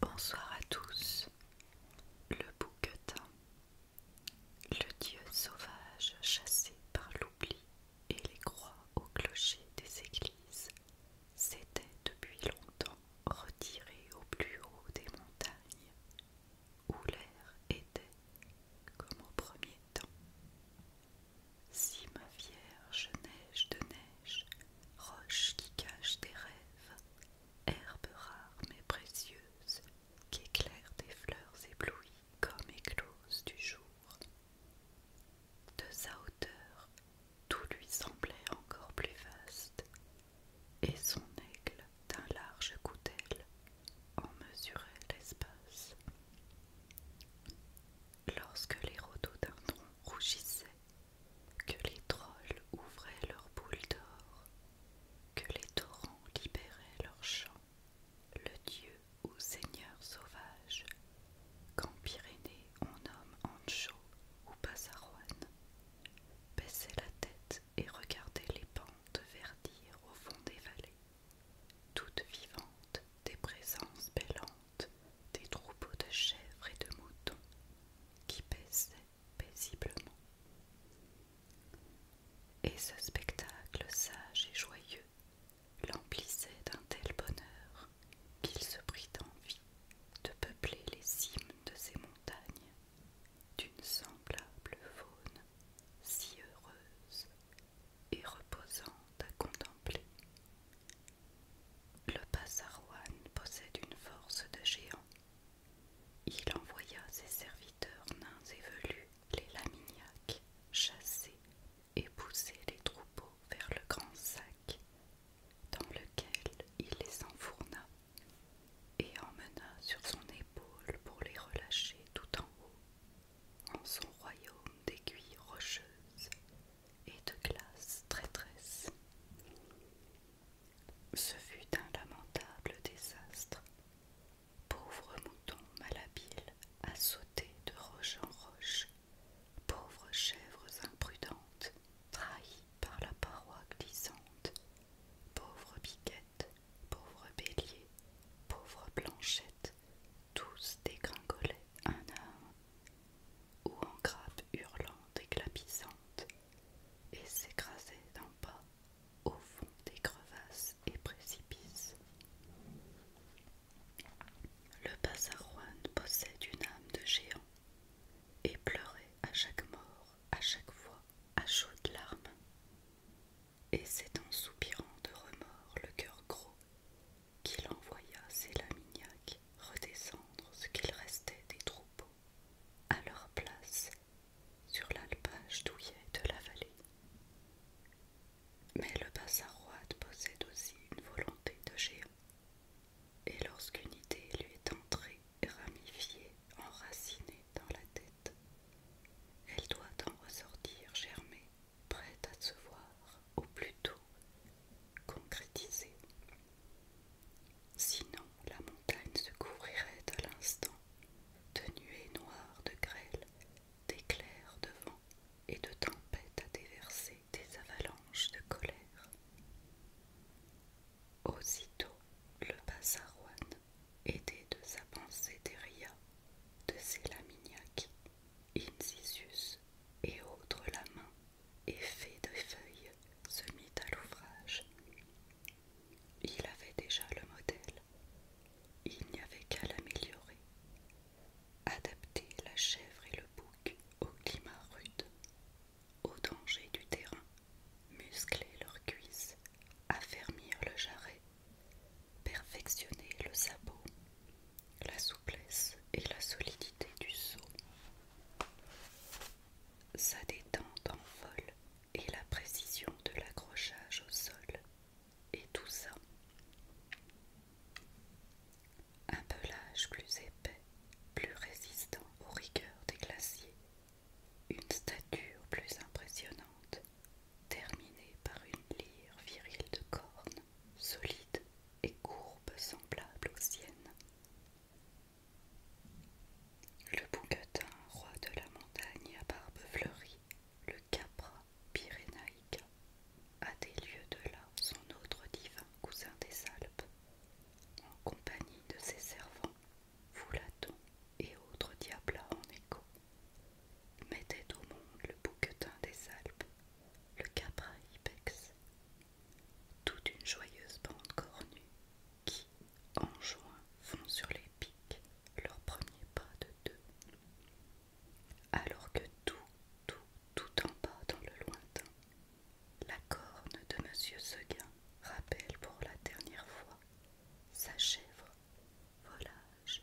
Bonsoir à tous. Le bouquetin, le dieu sauvage chassé par l'oubli et les croix au clocher des églises, s'était depuis longtemps retiré au plus haut des montagnes où l'air était comme au premier temps. Si ma vierge neige de neige, roche qui cache des rêves, herbe rare mais précieuse, éclaire des fleurs éblouies comme éclose du jour. De sa hauteur, tout lui semblait encore plus vaste, et son aigle d'un large coudel en mesurait l'espace. Lorsque les tronc rougissaient, que les trolls ouvraient leurs boules d'or, que les torrents libéraient leurs champs, le dieu ou seigneur sauvage, qu'en Pyrénées on nomme Ancho ou baissait la tête et regardait les pentes verdir au fond des vallées, toutes vivantes des présences bêlantes, des troupeaux de chèvres et de moutons qui paissaient paisiblement. Et ce spectacle sage et joyeux l'emplissait d'un tel bonheur qu'il se prit envie de peupler les cimes de ces montagnes d'une semblable faune si heureuse et reposante à contempler. Le Passarouane possède une force de géant. Il envoya ses serviteurs nains et velus, les Lamignacs, chassés et poussait les troupeaux vers le grand sac, dans lequel il les enfourna et emmena sur son épaule pour les relâcher tout en haut, en son royaume d'aiguilles rocheuses et de glaces traîtresses. Ce fut un lamentable désastre. Pauvre mouton malhabile à sauter de roche en roche Pauvres chèvres imprudentes, trahies par la paroi glissante, pauvres piquettes, pauvres béliers, pauvres planchettes, tous dégringolaient un à un, ou en grappes hurlantes et et s'écrasaient d'un pas au fond des crevasses et précipice. Le bazarouane possède une âme de géant et pleurait à chaque mort, à chaque fois, à chaudes larmes. Et c'est en soupirant de remords le cœur gros qu'il envoya ses lamignacs redescendre ce qu'il restait des troupeaux à leur place sur l'alpage douillet de la vallée. Mais le roide possède aussi une volonté de géant, et lorsqu'une idée lui est entrée, ramifiée, enracinée dans la tête, elle doit en ressortir germée, prête à se voir, ou plutôt concrétisée. Sinon, la montagne se couvrirait à l'instant de nuées noires de grêle, d'éclairs de vent et de tempêtes à déverser des avalanches de colère. Aussitôt le bassarouane, aidé de sa pensée d'Eria, de ses lamignaques Incisius et autres la main, fait de feuilles, se mit à l'ouvrage. Il avait déjà le modèle. Il n'y avait qu'à l'améliorer. Adapter la chèvre et le bouc au climat rude, au danger du terrain, muscler leurs cuisses, affermir le jarret, perfectionner le sabot, la souplesse et la solidité du seau sa détente en vol et la précision de l'accrochage au sol, et tout ça. Un pelage plus épais, plus résistant aux rigueurs des glaciers, une stature plus impressionnante, terminée par une lyre virile de cornes, solide et courbe semblable aux siennes. Le bouquetin, roi de la montagne à barbe fleurie, le capra pyrénaïca, a des lieux de là son autre divin cousin des Alpes, en compagnie de ses servants, Foulaton et autres diablats en écho, mettait au monde le bouquetin des Alpes, le capra ibex, toute une joyeuse bande cornue qui, en juin, font sur les pics leurs premiers pas de deux. Alors que tout, tout, tout en bas dans le lointain, la corne de Monsieur Seguin rappelle pour la dernière fois sa chèvre, volage,